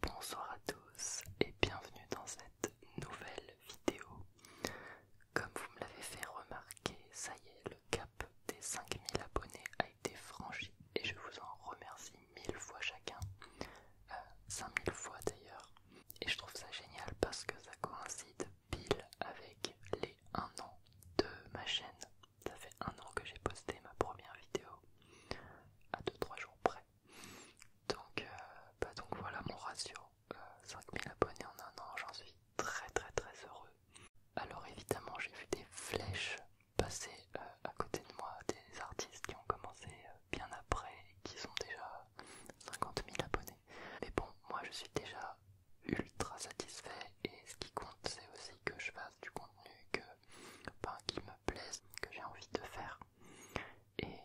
Bonsoir à tous et bienvenue dans cette nouvelle vidéo. Comme vous me l'avez fait remarquer, ça y est, le cap des 5000 abonnés a été franchi et je vous en remercie mille fois chacun. 5000 euh, fois d'ailleurs. Et je trouve ça génial parce que ça coïncide pile avec les 1 an de ma chaîne ça fait un an que j'ai posté ma première vidéo à 2-3 jours près. Donc, euh, bah donc voilà mon ratio, 5000 euh, abonnés en un an, j'en suis très très très heureux. Alors évidemment j'ai vu des flèches passer euh, à côté de moi, des artistes qui ont commencé bien après et qui sont déjà 50 000 abonnés. Mais bon, moi je suis déjà ultra satisfait et ce qui compte c'est aussi que je fasse du contenu, que qui me plaisent, que j'ai envie de faire. Et,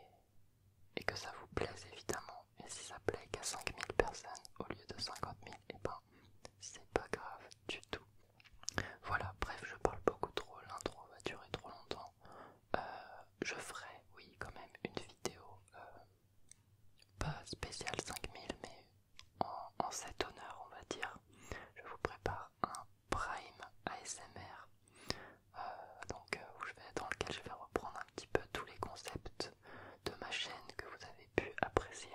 et que ça vous plaise évidemment. Et si ça plaît qu'à 5000 personnes au lieu de 50 000, et ben c'est pas grave du tout. Voilà, bref, je parle beaucoup trop, l'intro va durer trop longtemps. Euh, je ferai, oui, quand même une vidéo, euh, pas spéciale 5000, mais en, cet honneur, on va dire, je vous prépare un prime ASMR, euh, donc euh, je vais, dans lequel je vais reprendre un petit peu tous les concepts de ma chaîne que vous avez pu apprécier.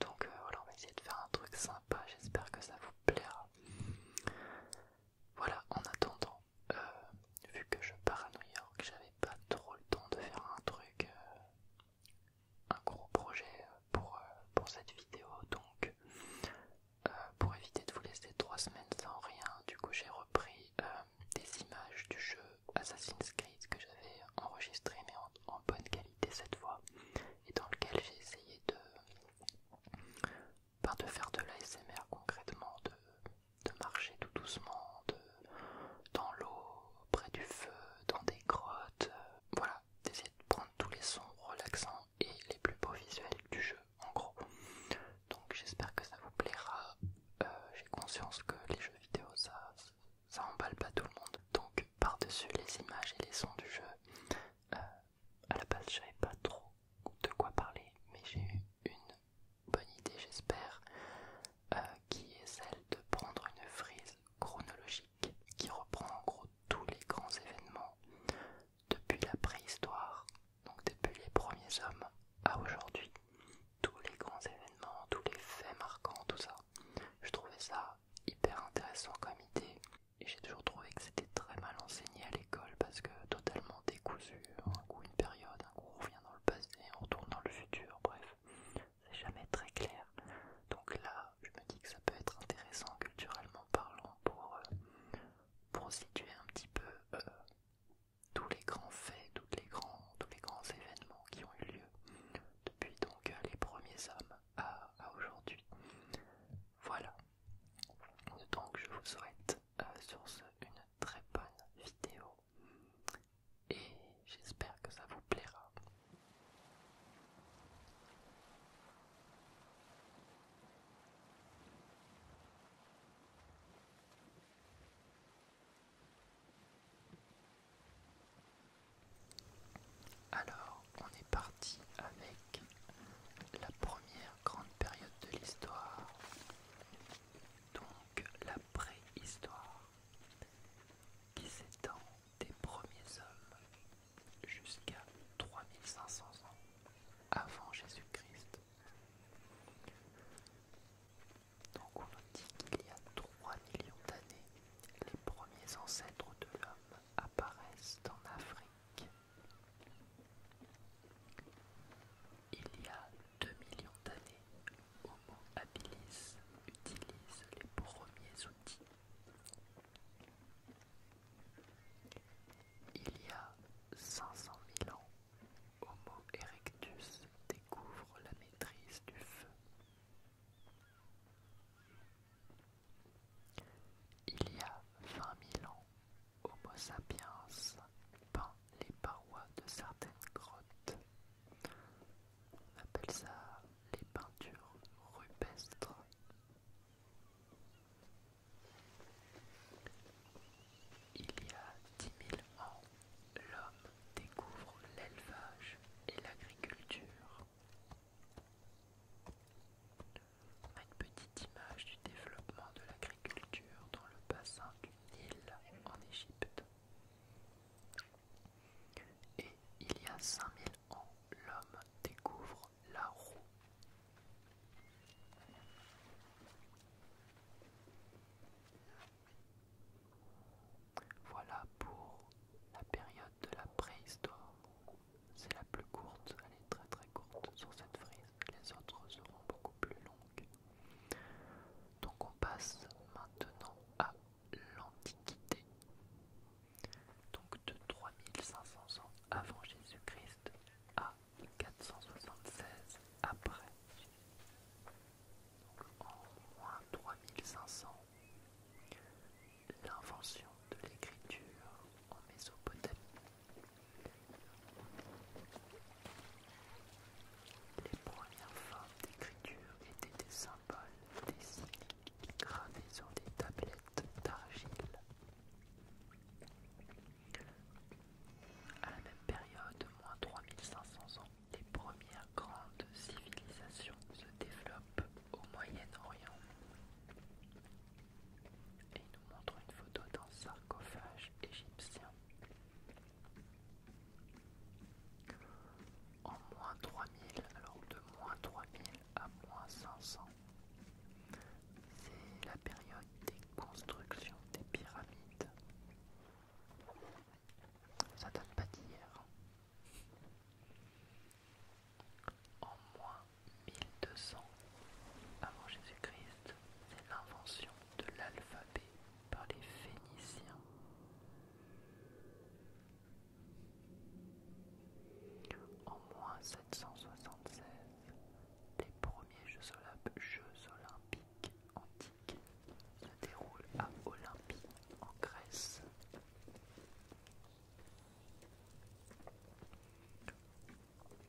Donc euh, voilà, on va essayer de faire un truc sympa, j'espère que ça vous plaira. Voilà, en attendant, vu que je pars à New York, j'avais pas trop le temps de faire un truc un gros projet euh, euh, pour, cette vidéo donc euh, pour éviter de vous laisser trois semaines sans rien du coup j'ai repris des images du jeu Assassin's Creed que j'avais enregistré mais en, bonne qualité cette fois et dans lequel j'ai essayé de, ben, de faire de l'ASMR concrètement de marcher tout doucement dans l'eau, près du feu, dans des grottes, voilà, d'essayer de prendre tous les sons relaxants et les plus beaux visuels du jeu en gros. Donc j'espère que ça vous plaira. Euh, j'ai conscience que les jeux vidéo ça, emballe pas tout le monde. Donc par-dessus les images et les sons du jeu, euh, à la base j'avais pas trop de quoi parler, mais j'ai eu une bonne idée j'espère, euh, qui est celle de prendre une frise chronologique qui reprend en gros tous les grands événements depuis la préhistoire, donc depuis les premiers hommes à aujourd'hui. Tous les grands événements, tous les faits marquants, tout ça. Je trouvais ça hyper intéressant comme idée et j'ai toujours trouvé que c'était très mal enseigné à l'école parce que totalement décousu, un coup une période, un coup on revient dans le passé, on retourne dans le futur, bref c'est jamais très clair. Donc là, je me dis que ça peut être intéressant culturellement parlant pour, euh, situer un petit peu euh, tous les grands faits, tous les grands, tous les grands événements qui ont eu lieu depuis donc euh, les premiers hommes à, aujourd'hui. Voilà. Donc je vous souhaite sur ce une très bonne vidéo et j'espère que ça vous plaira. Alors, on est parti avec la première grande période de l'histoire, donc la préhistoire, qui s'étend des premiers hommes jusqu'à 3500 ans avant Jésus-Christ. Donc on nous dit qu'il y a 3 millions d'années, les premiers ancêtres de l'homme apparaissent en Afrique. Il y a 2 millions d'années, Homo habilis utilise les premiers outils il y a 500 000 ans, Homo erectus découvre la maîtrise du feu. Il y a 20 000 ans, Homo sapiens peint les parois de certaines grottes. On appelle ça les peintures rupestres. Il y a 10 000 ans, l'homme découvre l'élevage et l'agriculture. On a une petite image du développement de l'agriculture dans le bassin du Nil en Égypte. Et il y a 5000 ans, l'homme découvre la roue. Voilà pour la période de la préhistoire. C'est la plus courte, elle est très très courte sur cette frise. Les autres seront beaucoup plus longues. Donc on passe maintenant à l'Antiquité, donc de 3500 ans avant Jésus-Christ à 476 après. en moins 3500, l'invention de l'écriture en Mésopotamie. Les premières formes d'écriture étaient des symboles, des signes gravés sur des tablettes d'argile. À la même période, moins 3500 ans, les premières grandes civilisations se développent au Moyen-Orient. Et il nous montre une photo d'un sarcophage égyptien en moins 3000, alors de moins 3000 à moins 500. C'est la période des constructions des pyramides. Ça date pas d'hier. Hein. En moins 1200 avant Jésus-Christ, c'est l'invention de l'alphabet par les Phéniciens. En moins 776, les premiers Jeux olympiques antiques se déroulent à Olympie, en Grèce.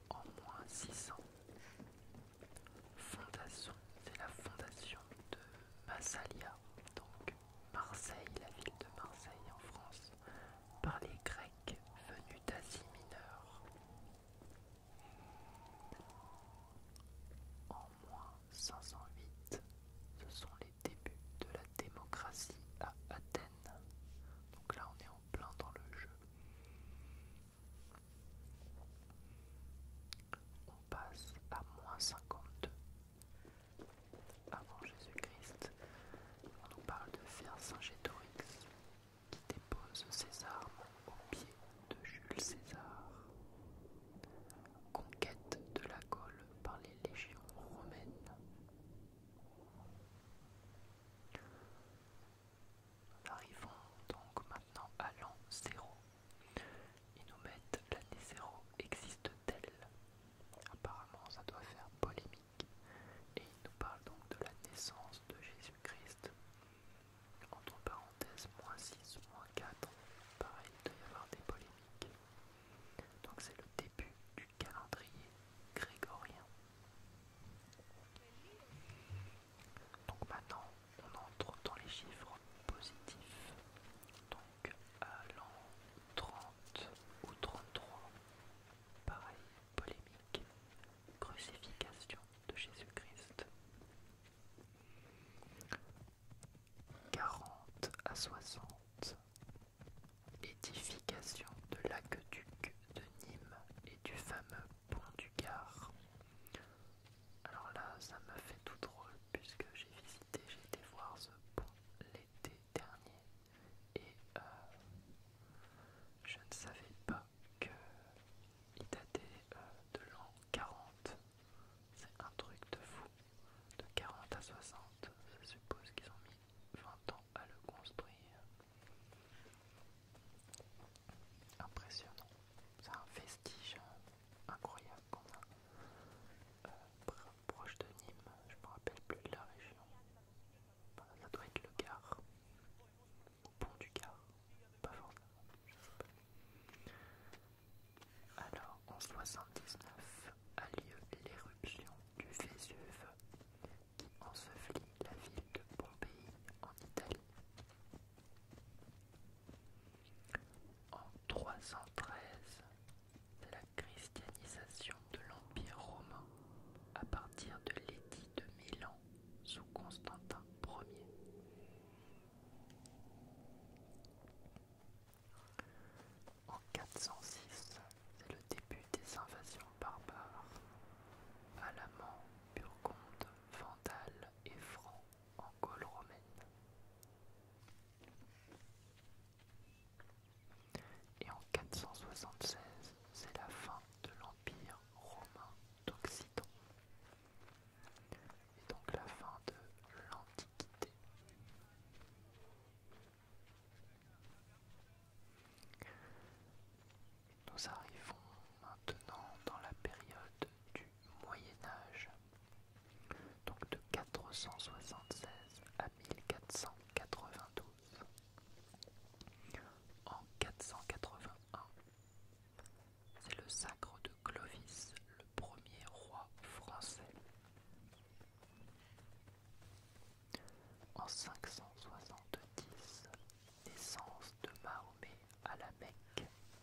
En moins 600, fondation, c'est la fondation de Massalia, donc Marseille, la ville de Marseille en France, par les Grecs venus d'Asie mineure. En moins 508, ce sont les débuts de la démocratie à Athènes. Donc là, on est en plein dans le jeu. On passe à moins 52 avant Jésus-Christ, on nous parle de faire saint qui dépose ses armes aux pieds de Jules César. Conquête de la Gaule par les légions romaines. Nous arrivons donc maintenant à l'an zéro ils nous mettent l'année 0, existe-t-elle Apparemment, ça doit faire polémique. Et il nous parle donc de la naissance de Jésus-Christ. Entre parenthèses, moins 6, moins 4. Pareil, il doit y avoir des polémiques. Donc c'est le début du calendrier grégorien. Donc maintenant, on entre dans les chiffres positifs. Donc à l'an 30 ou 33, pareil, polémique, crucifixion de Jésus-Christ. 40 à 60, édification de l'aqueduc de Nîmes et du fameux pont du Gard. Alors là, ça me fait tout drôle puisque j'ai visité, été voir ce pont l'été dernier et euh, je ne savais pas qu'il datait euh, de l'an 40. C'est un truc de fou. De 40 à 60, je suppose qu'ils ont mis 20 ans à le construire. Impressionnant. C'est un vestige. Hein incroyable qu'on a euh, proche de Nîmes, je me rappelle plus de la région. ça doit être le Gard, au pont du Gard, pas forcément, sais pas. Alors en 79 a lieu l'éruption du Vésuve qui ensevelit la ville de Pompéi en Italie. En 313, la christianisation de l'Empire romain à partir de l'édit de Milan sous Constantin Ier. En 406, c'est le début des invasions barbares. Alamans, Burgondes, Vandales et Francs en Gaule romaine. Et en 476, c'est la fin de l'Empire romain d'Occident. Et donc la fin de l'Antiquité. Nous arrivons maintenant dans la période du Moyen Âge, donc de 476 à 1492. En 481, c'est le sacre de Clovis, le premier roi français. En 570, naissance de Mahomet à la Mecque.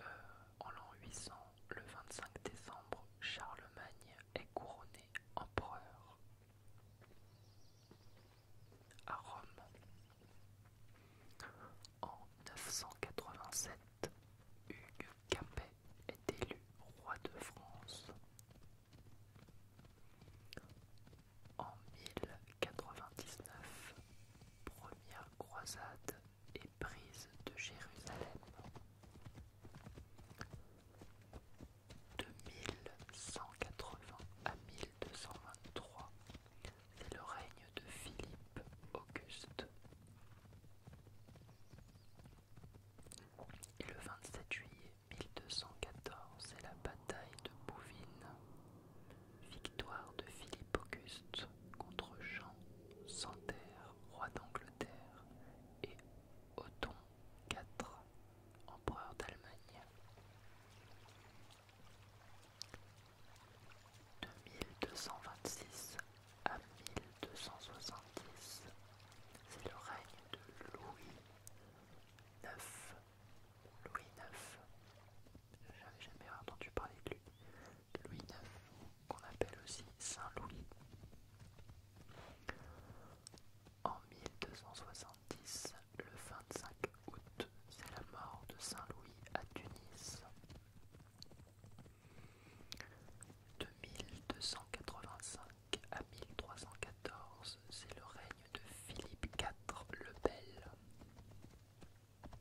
Euh, en l'an 800, le 25 décembre, Charlemagne est couronné empereur à Rome. En 987, Hugues Capet est élu roi de France. En 1099, première croisade et prise de Jérusalem. de 1180 à 1223, c'est le règne de Philippe Auguste. Et le 27 juillet 1214, c'est la bataille de Bouvines, victoire de Philippe Auguste contre Jean Santerre, roi d'Angleterre, et Othon IV, empereur d'Allemagne. De 1226 à 1270, c'est le règne de Louis IX. Louis IX, j'avais jamais entendu parler de lui. Louis IX, qu'on appelle aussi Saint Louis. En 1270, le 25 août, c'est la mort de Saint Louis à Tunis. De 1285 à 1314, c'est le règne de Philippe IV le Bel.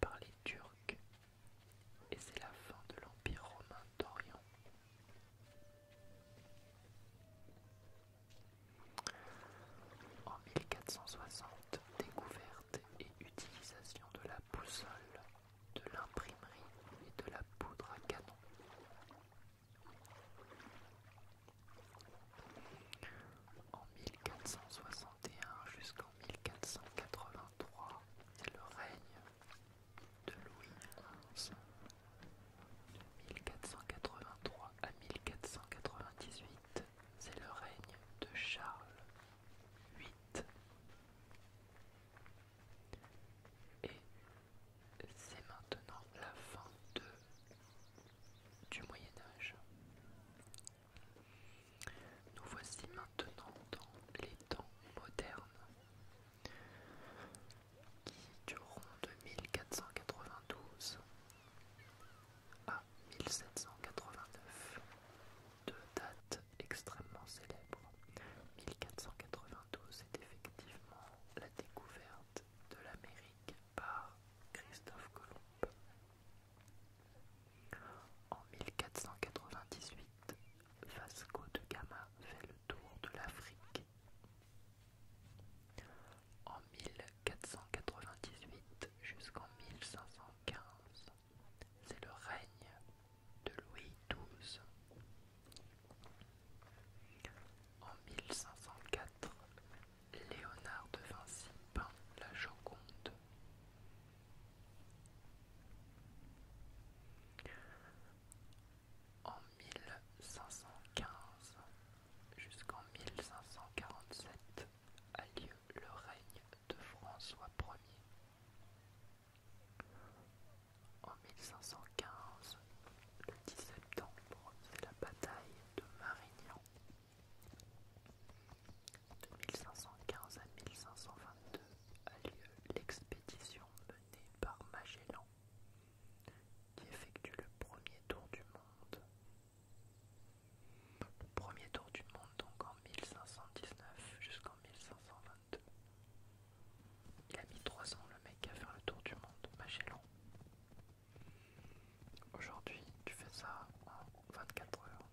par les Turcs et c'est la fin de l'Empire romain d'Orient. En 1460, découverte et utilisation de la boussole, de l'imprimerie et de la poudre à canon. En 1461 jusqu'en 1483 c'est le règne de Louis XI. 1483 à 1498, c'est le règne de Charles VIII. Et c'est maintenant la fin du Moyen Âge. Nous voici maintenant dans les temps modernes qui dureront de 1492 à 1789, deux dates extrêmement célèbres. 1492 est effectivement la découverte de l'Amérique par Christophe Colomb. En 1498, Vasco de Gama fait le tour de l'Afrique. En 1498 jusqu'en 1515, c'est le règne de Louis XII. En 1504, Léonard de Vinci peint la Joconde. En 1515 jusqu'en 1547 a lieu le règne de François Ier. En 1515, le 10 septembre, c'est la bataille de Marignan de 1515 à 1522 a lieu l'expédition menée par Magellan qui effectue le premier tour du monde. Le premier tour du monde donc en 1519 jusqu'en 1522. Il a mis 3 ans le mec à faire le tour du monde, Magellan. Aujourd'hui, tu fais ça en 24 heures.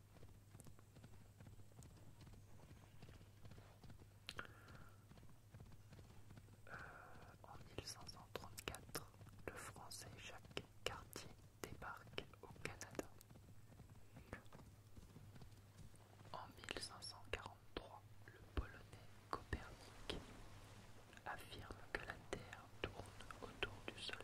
Euh, en 1534, le Français Jacques Cartier débarque au Canada. En 1543, le Polonais Copernic affirme que la Terre tourne autour du Soleil.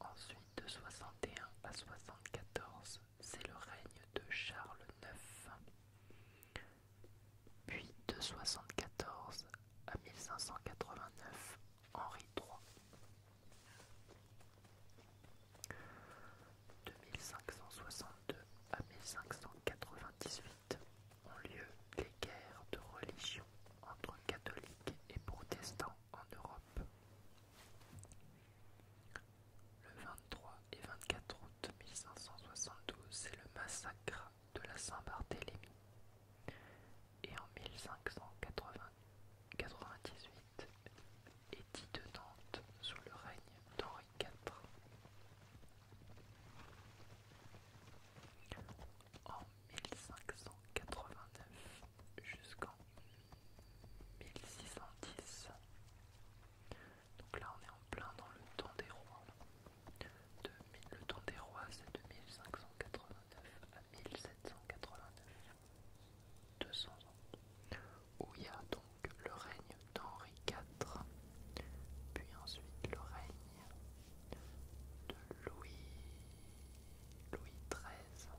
Ensuite, de 61 à 74, c'est le règne de Charles IX. Puis de 74 à 1589, Henri III. De 1562 à 1598 ont lieu les guerres de religion entre catholiques et protestants en Europe. Le 23 et 24 août 1572, c'est le massacre de la Saint-Barthélemy. Et en 1598, dit de Nantes sous le règne d'Henri IV. En 1589, jusqu'en 1610. Donc là on est en plein dans le temps des rois. le temps des rois c'est de 1589 à 1789. 200 Où il y a donc le règne d'Henri IV, puis ensuite le règne de Louis, Louis XIII,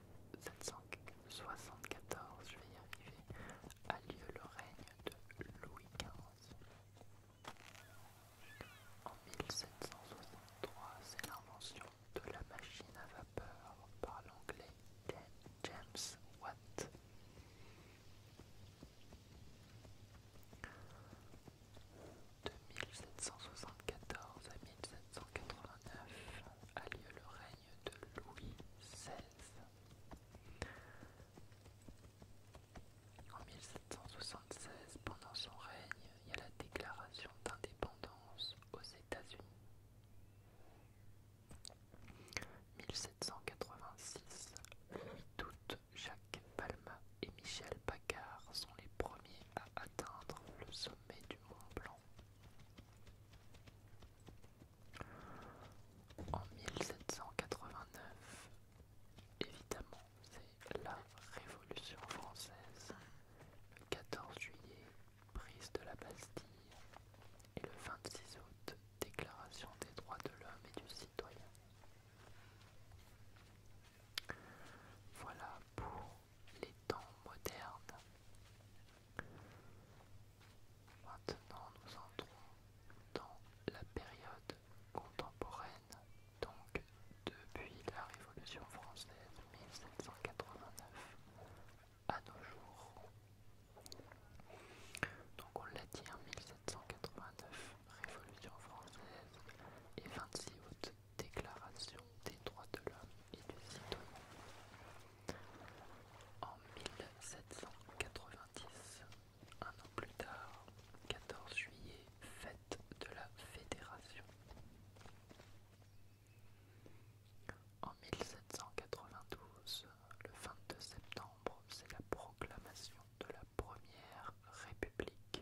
1774, je vais y arriver, a lieu le règne de Louis XV. En 1763, c'est l'invention de la machine à vapeur par l'anglais James Watt. De 1774 à 1789 a lieu le règne de Louis XVI. En 1776, pendant son règne, il y a la déclaration d'indépendance aux États-Unis. 1786, toutes Jacques Palma et Michel Paccard sont les premiers à atteindre le sommet du Mont Blanc. En 1789, évidemment, c'est la Révolution française. Le 14 juillet, prise de la Bastille. Et le 26 août, déclaration des droits de l'homme et du citoyen. Voilà pour les temps modernes. Maintenant, nous entrons dans la période contemporaine, donc depuis la Révolution française 1789 à nos jours. Donc on l'a dit hein, en 1789, Révolution française et 26 août, Déclaration des droits de l'homme et du citoyen. En 1790, un an plus tard, 14 juillet, fête de la Fédération. En 1792, le 22 septembre, c'est la proclamation de la Première République.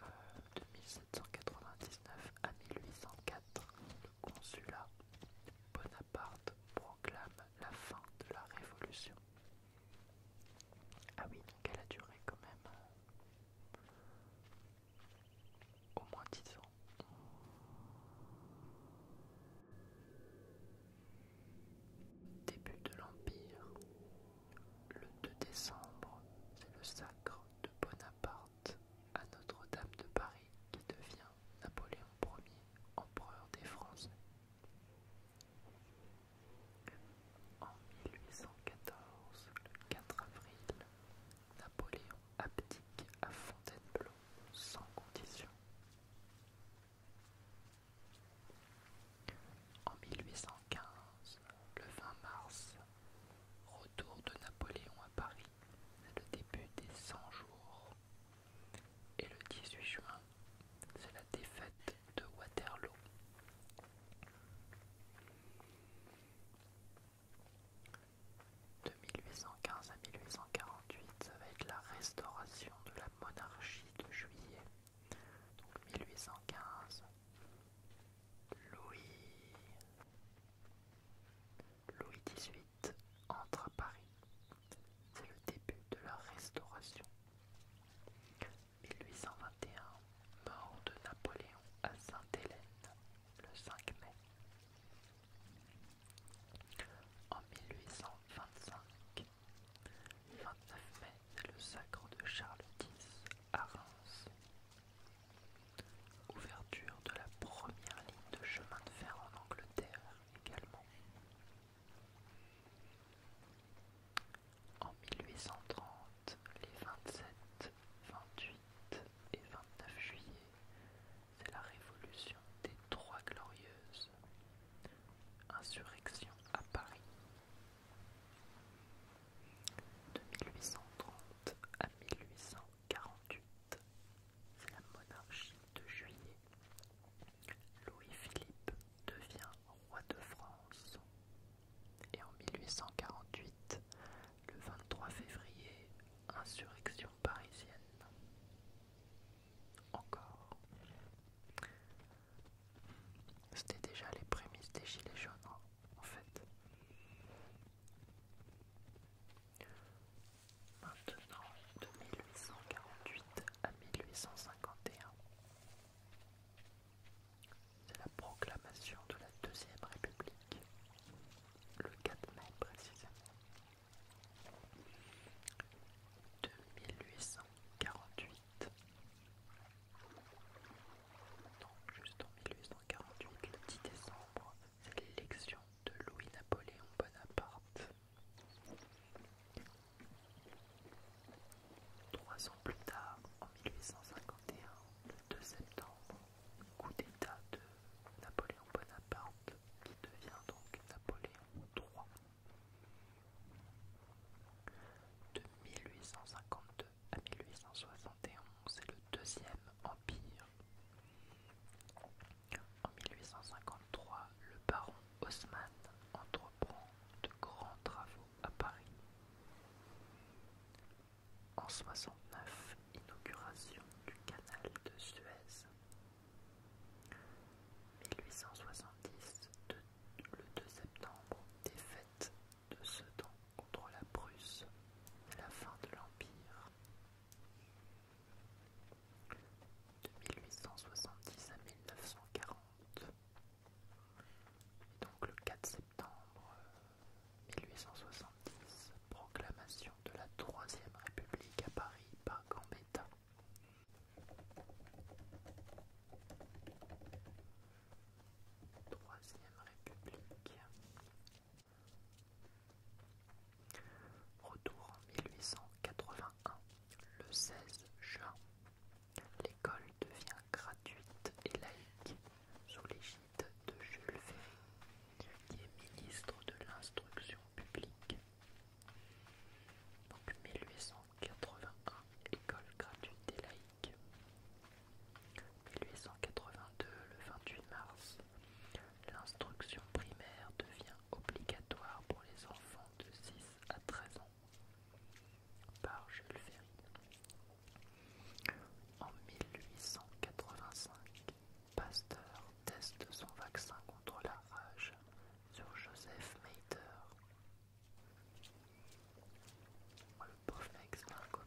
Euh, de 1799 à 1804, le consulat Bonaparte proclame la fin de la Révolution. Ah oui, donc elle a duré quand même euh, au moins 10 ans. Début de l'Empire, le 2 décembre, c'est le sacre de Bonaparte à Notre-Dame de Paris qui devient Napoléon Ier, empereur des Français. En 1814, le 4 avril, Napoléon abdique à Fontainebleau sans condition. En 1815, le 20 mars, retour de Napoléon à Paris, c'est le début des 100 jours. Et le 18 juin, c'est la défaite de Waterloo. De 1815 à 1848, ça va être la restauration de la monarchie de juillet donc 1815, Louis, Louis XVIII entre à Paris. C'est le début de la Restauration. 1821, mort de Napoléon à Sainte-Hélène, le 5 mai. En 1825, 29 mai, c'est le sacre de Charles X à Reims. Ouverture de la première ligne de chemin de fer en Angleterre également. En 1830, les 27, 28 et 29 juillet, c'est la révolution des Trois Glorieuses, insurrection à Paris de 1830 à 1848, c'est la monarchie de Juillet. Louis-Philippe devient roi de France. Et en 1848, le 23 février, insurrection parisienne. Encore. C'était déjà les prémices des Gilets jaunes, hein, en fait. Maintenant, de 1848 à 1851, c'est la proclamation de la Deuxième République, le 4 mai précisément. De 1848 donc, juste en 1848, le 10 décembre, c'est l'élection de Louis-Napoléon Bonaparte. Trois ans plus tard, en 1851, le 2 septembre, coup d'État de Napoléon Bonaparte, qui devient donc Napoléon III de 1852 à 1871, c'est le deuxième empire. En 1853, le baron Haussmann entreprend de grands travaux à Paris. En 1869, inauguration du canal de Suez. 1870, le 2 septembre, défaite de Sedan contre la Prusse, la fin de l'Empire. De 1870 à 1940. Et donc le 4 septembre 1870, euh, proclamation de la Troisième République à Paris par Gambetta. Troisième République. Retour en 1881, le 16 juin. L'école devient gratuite et laïque sous l'égide de Jules Ferry, qui est ministre de l'Instruction publique. Donc 1881 81, école gratuite et laïque 1882, le 28 mars, l'instruction primaire devient obligatoire pour les enfants de 6 à 13 ans. Par Jules Ferry. En 1885, Pasteur teste son vaccin contre la rage sur Joseph Mater. Oh, le pauvre mec, c'est un quoi.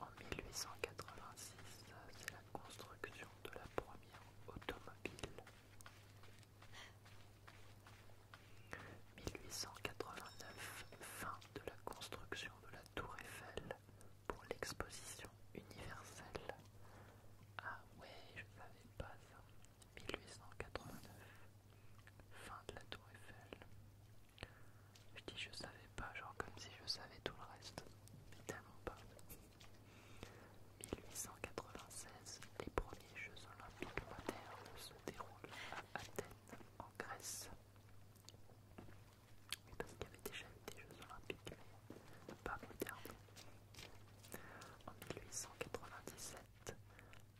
En 1886, c'est la construction de la première automobile. 1889, fin de la construction de la Tour Eiffel pour l'exposition universelle. Ah ouais, je savais pas ça. 1889, fin de la tour Eiffel. Je dis je savais pas, genre comme si je savais tout le reste, mais tellement pas. 1896, les premiers Jeux olympiques modernes se déroulent à Athènes, en Grèce. Mais donc il y avait déjà eu des Jeux olympiques, pas modernes. En 1897,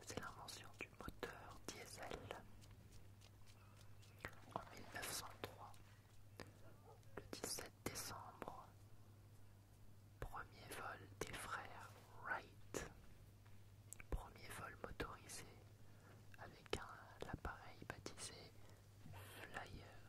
c'est l'invention du moteur diesel. En 1903, le 17 décembre, premier vol des frères Wright, premier vol motorisé avec un appareil baptisé Flyer.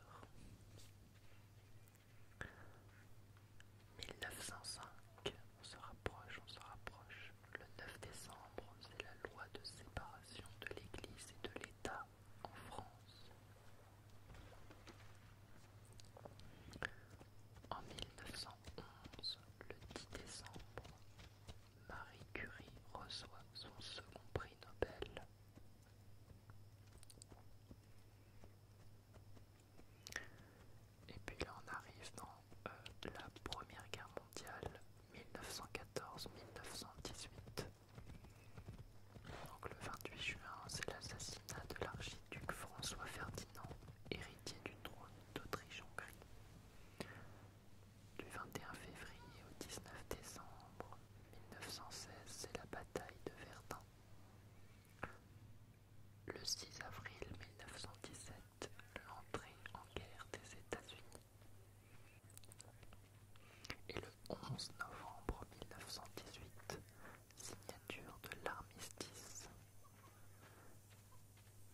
1905, on se rapproche, on se rapproche. Le 9 décembre, c'est la loi de séparation de l'Église et de l'État en France. En 1911, le 10 décembre, Marie Curie reçoit son second prix Nobel. Et puis là on arrive dans euh, la Première Guerre mondiale 1914-1918. Donc le 28 juin, c'est l'assassinat de l'archiduc François Ferdinand, héritier du trône d'Autriche-Hongrie. Du 21 février au 19 décembre 1916, c'est la bataille de Verdun. Le 6 avril 1917, l'entrée en guerre des États-Unis. Et le 11 novembre 1918, signature de l'armistice,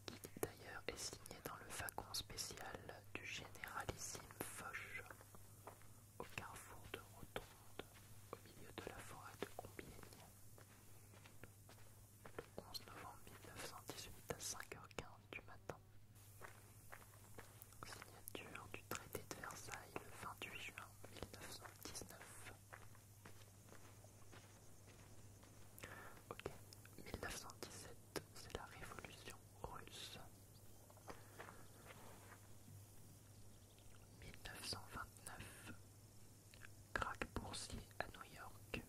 qui d'ailleurs est signée dans le wagon spécial du généralissime Foch au carrefour de Rotonde, au milieu de la forêt de Combiègne. Le 11 novembre 1918 à 5h15 du matin. Signature du traité de Versailles le 28 juin 1919. Ok, 1917, c'est la révolution russe. 1929 craque boursier à New York.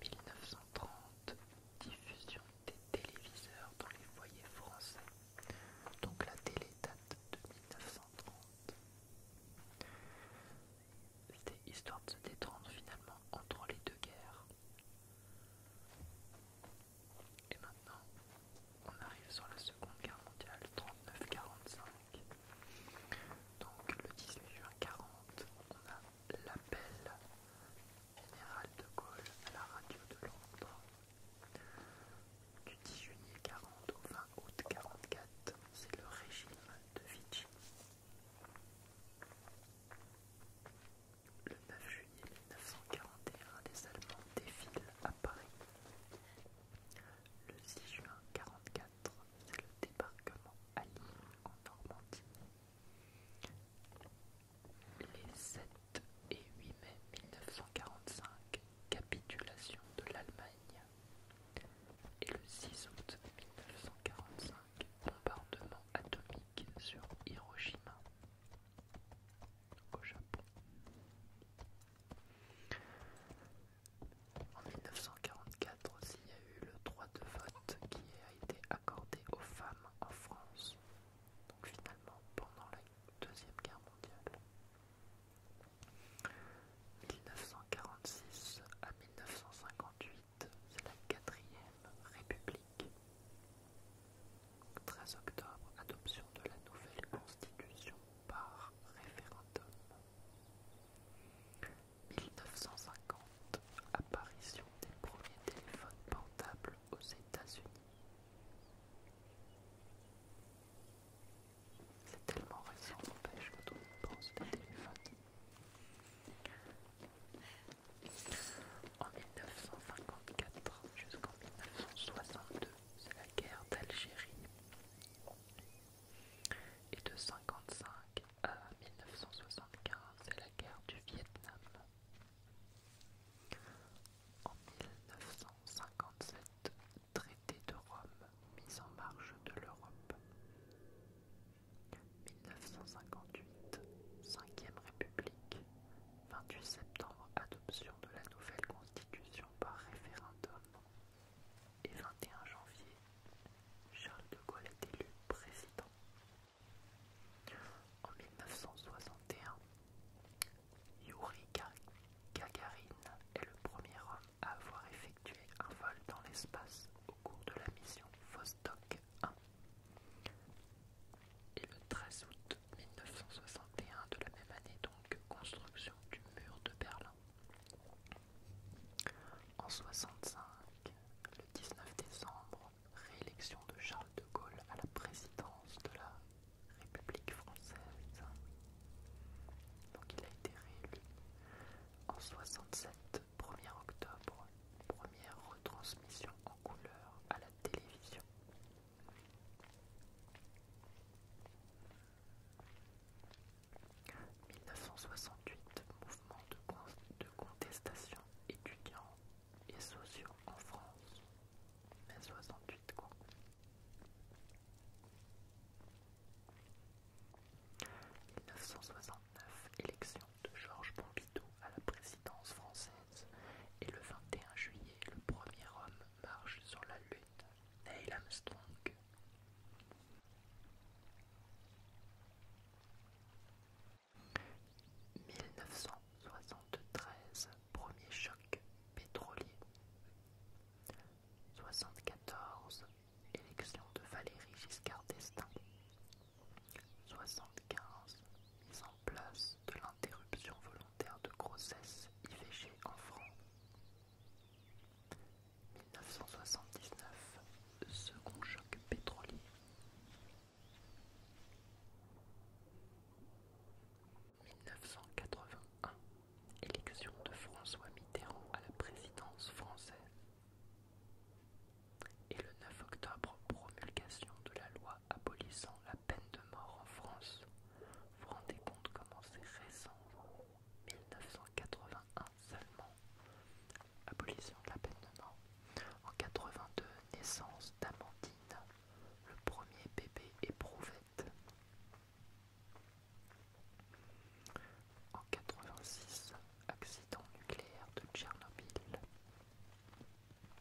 1930 Diffusion des téléviseurs dans les foyers français. Donc la télé date de 1930. C'était histoire de se détendre finalement entre les deux guerres. Et maintenant, on arrive sur la Seconde Guerre mondiale 39-45. Donc le 18 juin 40, on a l'appel général de Gaulle à la radio de Londres. Du 10 juillet 40 au 20 août 44, c'est le régime de Vichy. Le 9 juillet, 1941, les Allemands défilent à Paris. Le 6 juin 1944, c'est le débarquement à Lille en Normandie. Les 7 et 8 mai 1945, capitulation de l'Allemagne. Et le 6 août 1945, bombardement atomique sur Hiroshima au Japon. En 1944 aussi, il y a eu le droit de vote qui a été accordé aux femmes en France. Donc finalement pendant la Deuxième Guerre mondiale. 1946 à 1958, c'est la quatrième République. 13 octobre, adoption de la nouvelle constitution par référendum. 1950, apparition des premiers téléphones portables aux États-Unis. C'est tellement récent, n'empêche, le monde pense d'un téléphone En 1954 jusqu'en 1962, c'est la guerre d'Algérie et de 1955 à 1975 c'est la guerre du Vietnam. En 1957, traité de Rome, mise en marche de l'Europe. 1958, 5ème République, 28 septembre, adoption de la nouvelle constitution par référendum et 21 janvier, Charles de Gaulle est élu président. En 1961, Yuri Gagarin est le premier homme à avoir effectué un vol dans l'espace au cours de la mission Vostok 1 et le 13 août 1961 de la même année, donc construction du mur de Berlin. En 1965, le 19 décembre, réélection de Charles de Gaulle à la présidence de la République française. Donc il a été réélu. En 67, 1er octobre, première retransmission en couleur à la télévision. 1968 Mouvement de, contestation étudiant et sociaux en France. 1968 1969 Élection de Georges Pompidou à la présidence française et le 21 juillet, le premier homme marche sur la Lune, Neil Armstrong. « 1973, premier choc pétrolier. 74, élection de Valéry Giscard d'Estaing. 75, mise en place de l'interruption volontaire de grossesse IVG en France. 1979, second choc pétrolier. « 1981, élection de François Mitterrand à la présidence française. Et le 9 octobre, promulgation de la loi abolissant la peine de mort en France. Vous vous rendez compte comment c'est récent 1981 seulement. Abolition de la peine de mort. En 82, naissance d'Amandine, le premier bébé éprouvette. En 86, accident nucléaire de Tchernobyl.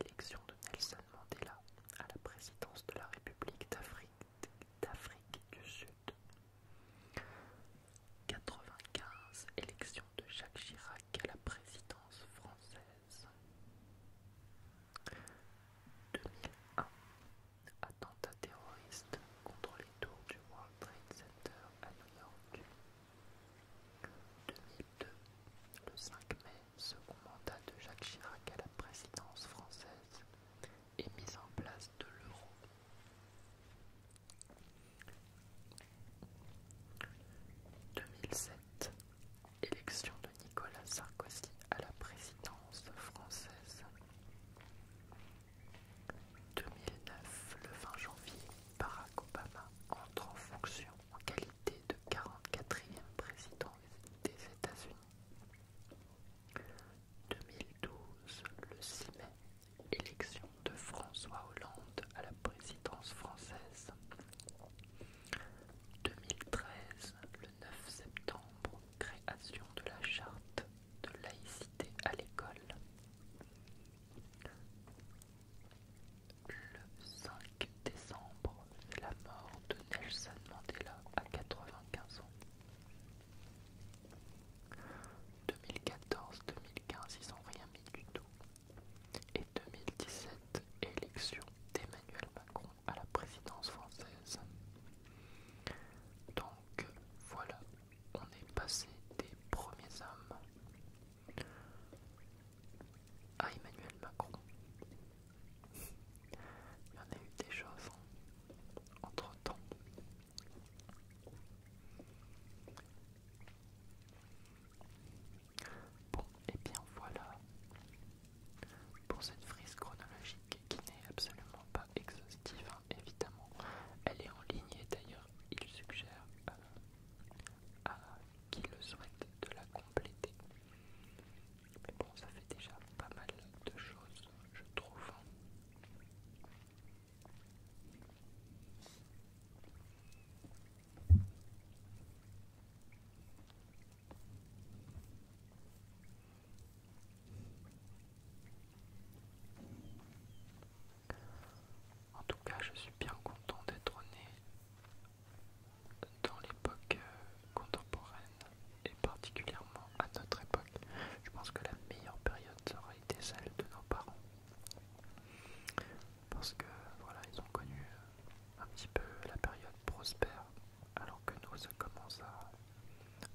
Élection de Nelson Mandela à la présidence de la République d'Afrique du Sud. 95. Élection de Jacques Chirac à la présidence française. 2001. Attentat terroriste contre les tours du World Trade Center à New York. 2002. Le 5 mai, second mandat de Jacques Chirac à la présidence française et mise en place de l'euro. « 2007 Élection de Nicolas Sarkozy à la présidence française. 2009, le 20 janvier, Barack Obama entre en fonction en qualité de 44e président des États-Unis. 2012, le 6 mai, élection de François Hollande à la présidence française. 2013, le 9 septembre, création de la charte de laïcité à l'école. Le 5 décembre, c'est la mort de Nelson Mandela à 95 ans. 2014-2015, ils n'ont rien mis du tout. Et 2017, élection d'Emmanuel Macron à la présidence française. Donc voilà, on est passé des premiers hommes à ah, Emmanuel Macron. Il y en a eu des choses entre temps. Bon, et eh bien voilà pour cette frise chronologique qui n'est absolument pas exhaustive, hein, évidemment. Elle est en ligne et d'ailleurs, il suggère euh, à qui le souhaite de la compléter. Mais bon, ça fait déjà pas mal de choses, je trouve. En tout cas, je suis bien content d'être né dans l'époque euh, contemporaine et particulièrement à notre époque. Je pense que la meilleure période aurait été celle de nos parents. Parce que voilà, ils ont connu euh, un petit peu la période prospère, alors que nous ça commence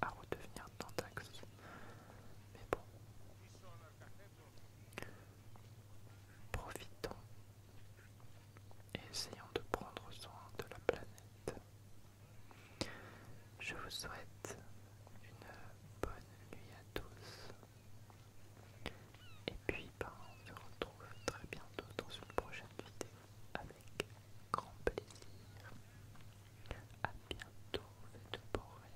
à, redevenir tendax. Mais bon, Profitons et essayons de prendre soin de la planète. Je vous souhaite une bonne nuit à tous. Et puis ben, on se retrouve très bientôt dans une prochaine vidéo avec grand plaisir. à bientôt de beaux rêves.